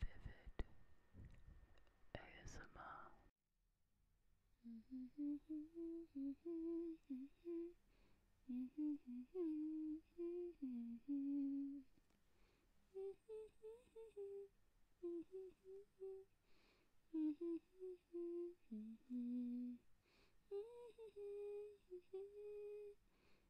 Vivid ASMR.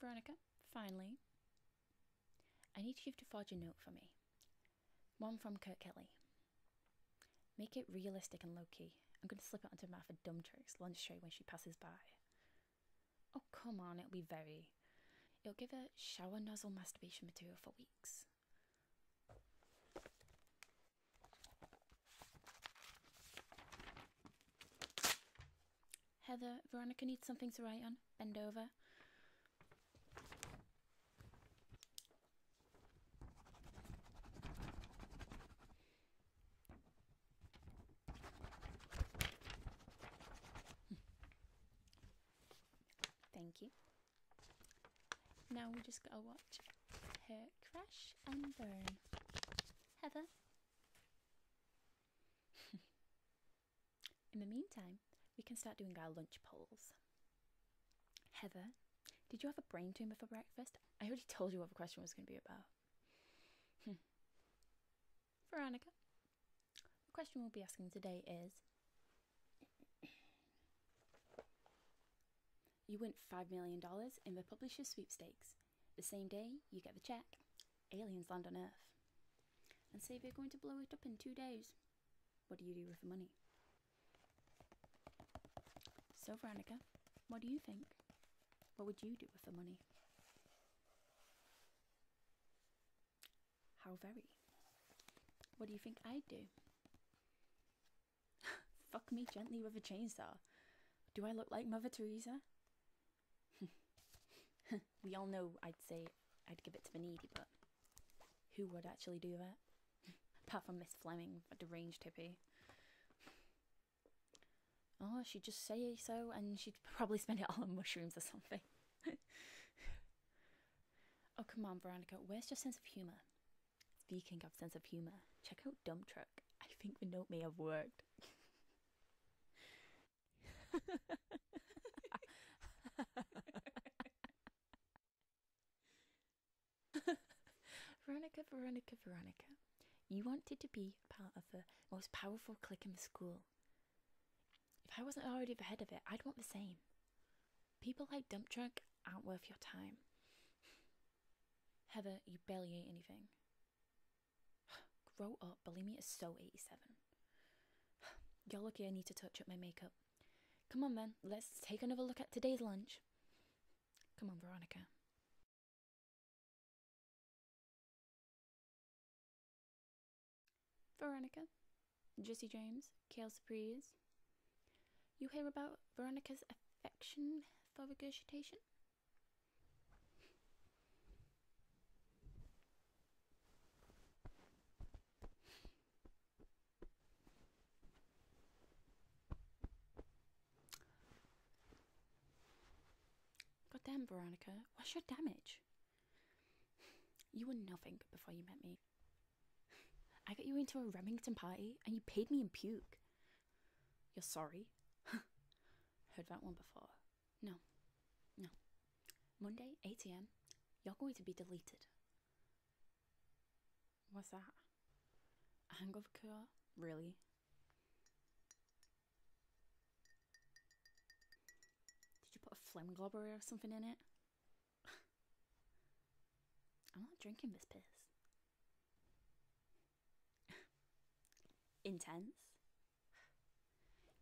Veronica, finally, I need you to forge a note for me. One from Kurt Kelly. Make it realistic and low key. I'm going to slip it under Matt for lunch tray when she passes by. Oh, come on, it'll be very. It'll give her shower nozzle masturbation material for weeks. Heather, Veronica needs something to write on. Bend over. Thank you. Now we just gotta watch her crash and burn. Heather. In the meantime, we can start doing our lunch polls. Heather, did you have a brain tumor for breakfast? I already told you what the question was going to be about. Hmm. Veronica, the question we'll be asking today is You win $5 million in the publisher sweepstakes. The same day you get the check, aliens land on Earth and say they're going to blow it up in two days, what do you do with the money? So, Veronica, what do you think? What would you do with the money? How very? What do you think I'd do? Fuck me gently with a chainsaw. Do I look like Mother Teresa? we all know I'd say I'd give it to the needy, but who would actually do that? Apart from Miss Fleming, a deranged hippie. Oh, she'd just say so, and she'd probably spend it all on mushrooms or something. oh, come on, Veronica, where's your sense of humour? Speaking of sense of humour, check out Dump Truck. I think the note may have worked. Veronica, Veronica, Veronica, you wanted to be part of the most powerful clique in the school. If I wasn't already ahead of it, I'd want the same. People like Dump Truck aren't worth your time. Heather, you barely ate anything. Grow up. Bulimia is so 87. You're lucky I need to touch up my makeup. Come on, man, Let's take another look at today's lunch. Come on, Veronica. Veronica, Jesse James, Kale Surprise. You hear about Veronica's affection for regurgitation? God damn, Veronica, what's your damage? You were nothing before you met me. I got you into a Remington party and you paid me in puke. You're sorry? Heard that one before. No, no. Monday, 8 am, you're going to be deleted. What's that? A hangover cure? Really? Did you put a phlegm globber or something in it? I'm not drinking this piss. Intense?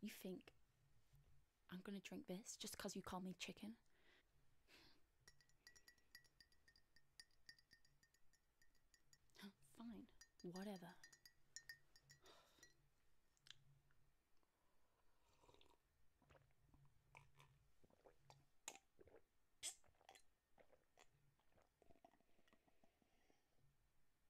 You think I'm gonna drink this just because you call me chicken? Fine, whatever.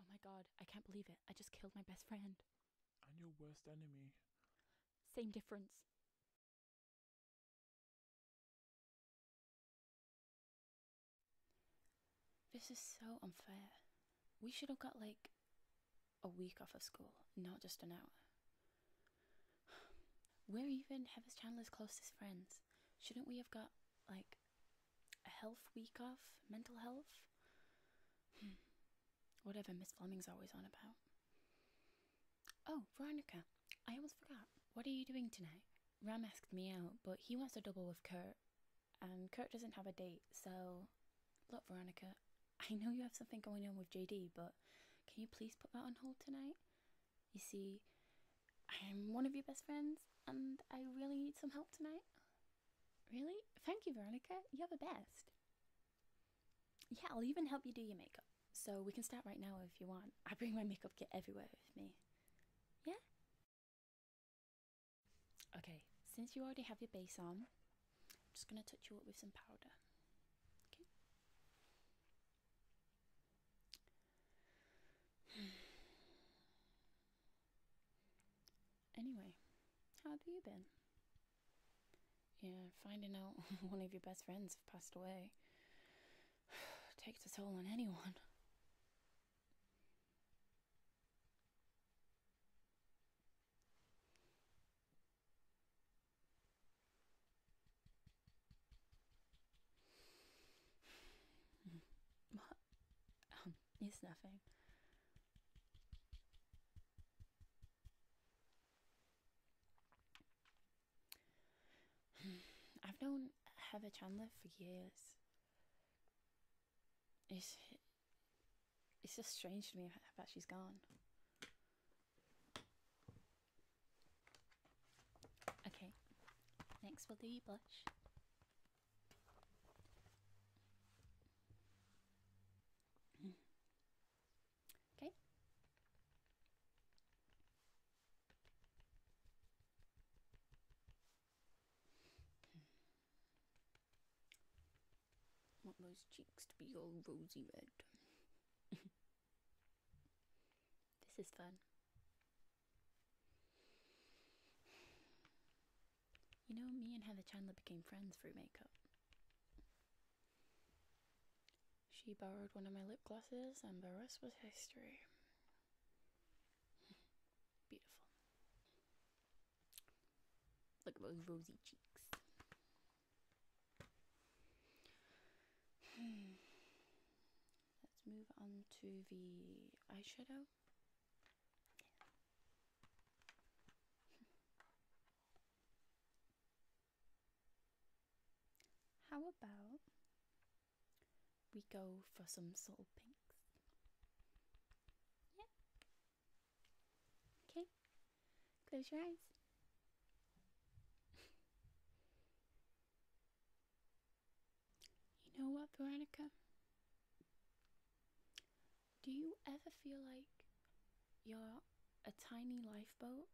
Oh my god, I can't believe it. I just killed my best friend. And your worst enemy. Same difference. This is so unfair. We should have got like a week off of school, not just an hour. We're even Heather's Chandler's closest friends. Shouldn't we have got like a health week off, mental health. Hmm. Whatever Miss Fleming's always on about. Oh, Veronica, I almost forgot. What are you doing tonight? Ram asked me out, but he wants to double with Kurt, and Kurt doesn't have a date, so. Look, Veronica, I know you have something going on with JD, but can you please put that on hold tonight? You see, I'm one of your best friends and I really need some help tonight. Really? Thank you, Veronica. You're the best. Yeah, I'll even help you do your makeup. So we can start right now if you want. I bring my makeup kit everywhere with me. Yeah? Okay, since you already have your base on, I'm just going to touch you up with some powder. Okay? anyway, how have you been? Yeah, finding out one of your best friends have passed away takes a toll on anyone. What? it's nothing. I've known Heather Chandler for years. It's it's just strange to me that she's gone. Okay, next we'll do blush. okay. Want those cheeks to be all rosy red. This is fun. You know, me and Heather Chandler became friends through makeup. She borrowed one of my lip glosses, and the rest was history. Beautiful. Look at those rosy cheeks. Hmm. Let's move on to the eyeshadow. How about we go for some subtle pinks? Yeah. Okay. Close your eyes. You know what, Veronica? Do you ever feel like you're a tiny lifeboat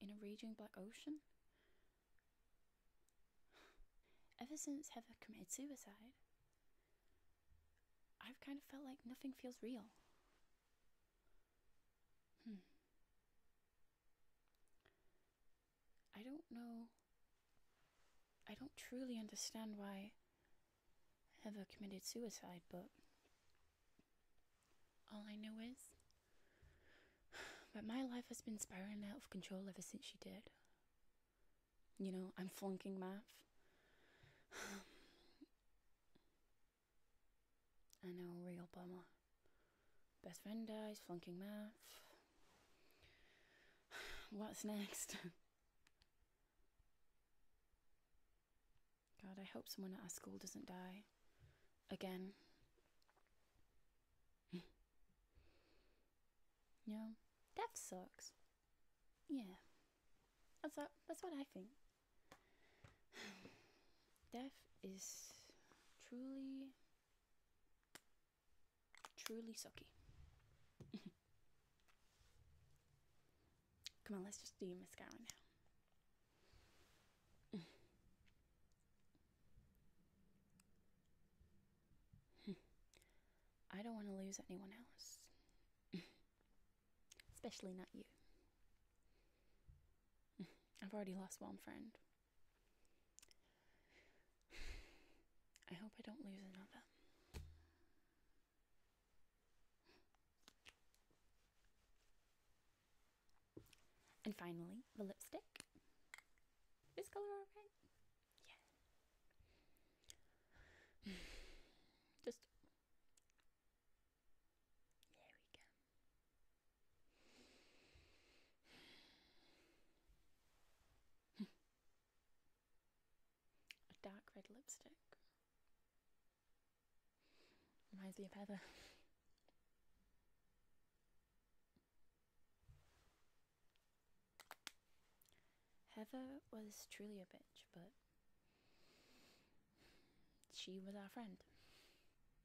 in a raging black ocean? ever since Heather committed suicide, I've kind of felt like nothing feels real. Hmm. I don't know. I don't truly understand why Ever committed suicide, but all I know is that my life has been spiraling out of control ever since she did. You know, I'm flunking math. Um, I know, real bummer. Best friend dies, flunking math. What's next? God, I hope someone at our school doesn't die. Again. yeah. Death sucks. Yeah. That's, that's what I think. death is truly, truly sucky. Come on, let's just do your mascara now. I don't want to lose anyone else. Especially not you. I've already lost one friend. I hope I don't lose another. And finally, the lipstick. This color alright? Yeah. Just there we go. A dark red lipstick. Reminds me of Heather. Heather was truly a bitch, but she was our friend.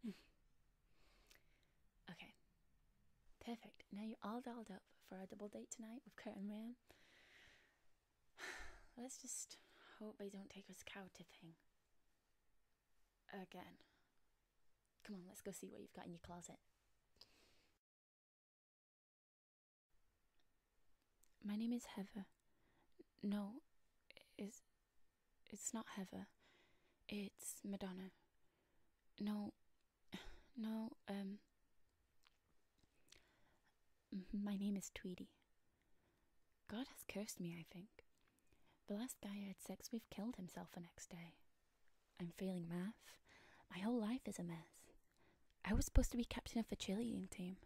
okay. Perfect. Now you're all dolled up for our double date tonight with Kurt and Ram. Let's just hope they don't take us cow tipping. Again. Come on, let's go see what you've got in your closet. My name is Heather. No, is it's not Heather. It's Madonna. No, no, um. My name is Tweedy. God has cursed me, I think. The last guy I had sex with killed himself the next day. I'm failing math. My whole life is a mess. I was supposed to be captain of the cheerleading team.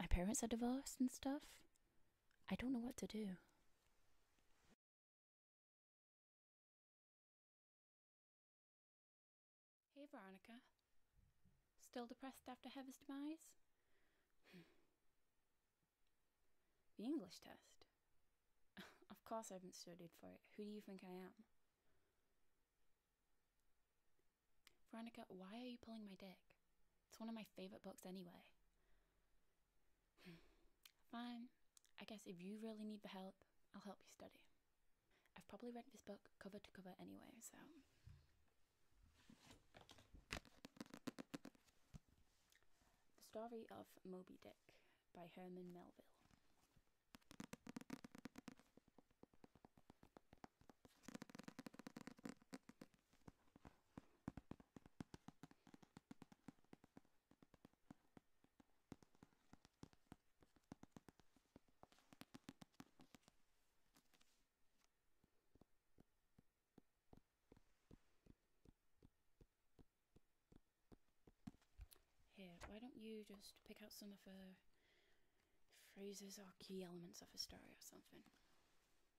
My parents are divorced and stuff. I don't know what to do. Hey, Veronica. Still depressed after Hever's demise? Hmm. the English test. of course, I haven't studied for it. Who do you think I am? Veronica, why are you pulling my dick? It's one of my favorite books anyway. Fine. I guess if you really need the help, I'll help you study. I've probably read this book cover to cover anyway, so. The Story of Moby Dick by Herman Melville. Here, why don't you just pick out some of her phrases or key elements of her story or something?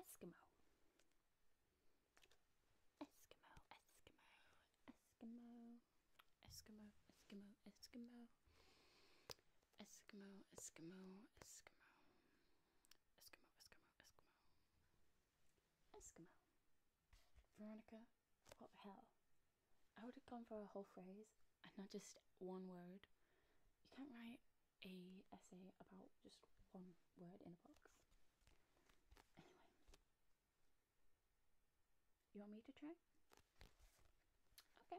Eskimo. Eskimo, Eskimo, Eskimo, Eskimo, Eskimo, Eskimo, Eskimo, Eskimo, Eskimo, Eskimo, Veronica what the hell? I would have gone for a whole phrase and not just one word. You can't write a essay about just one word in a box. Anyway. You want me to try? Okay.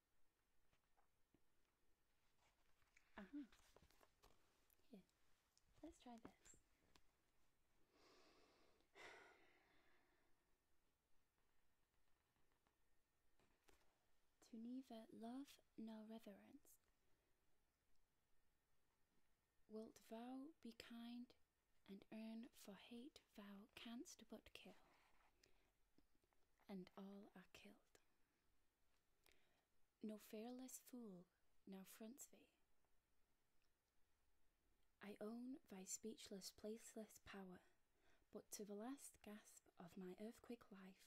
Uh-huh. let's try this. to neither love nor reverence. Wilt thou be kind and earn for hate thou canst but kill, and all are killed. No fearless fool now fronts thee. I own thy speechless, placeless power, but to the last gasp of my earthquake life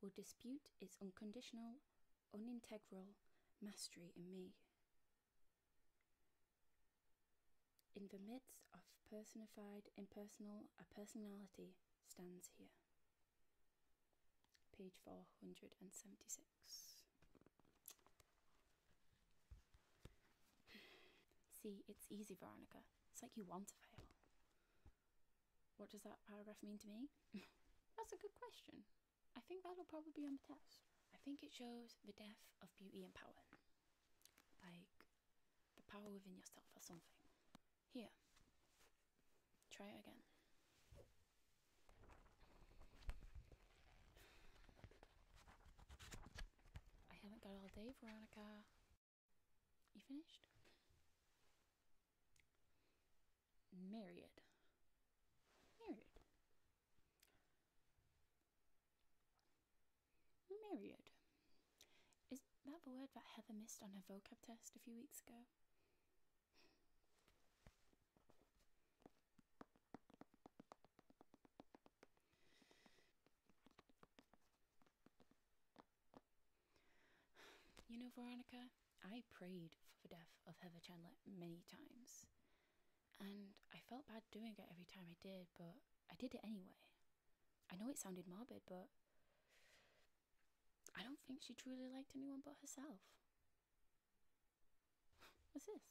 will dispute its unconditional, unintegral mastery in me. In the midst of personified, impersonal, a personality stands here. Page 476. See, it's easy, Veronica. It's like you want to fail. What does that paragraph mean to me? That's a good question. I think that'll probably be on the test. I think it shows the death of beauty and power. Like, the power within yourself or something. Here, try it again. I haven't got all day, Veronica. You finished? Married. Married. Myriad. Is that the word that Heather missed on her vocab test a few weeks ago? You know, Veronica, I prayed for the death of Heather Chandler many times. And I felt bad doing it every time I did, but I did it anyway. I know it sounded morbid, but I don't think she truly liked anyone but herself. What's this?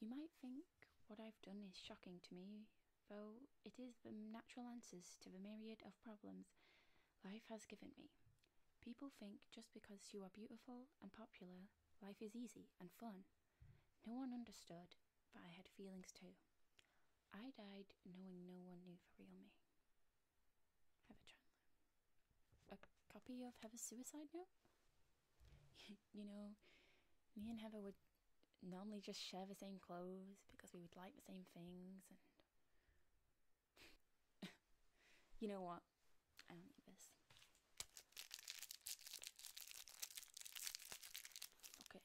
You might think what I've done is shocking to me, though it is the natural answers to the myriad of problems life has given me. People think just because you are beautiful and popular life is easy and fun. No one understood, but I had feelings too. I died knowing no one knew the real me. Heather Chandler. A copy of Have a suicide note? you know, me and Heather would normally just share the same clothes because we would like the same things and. you know what? I don't need this. Okay.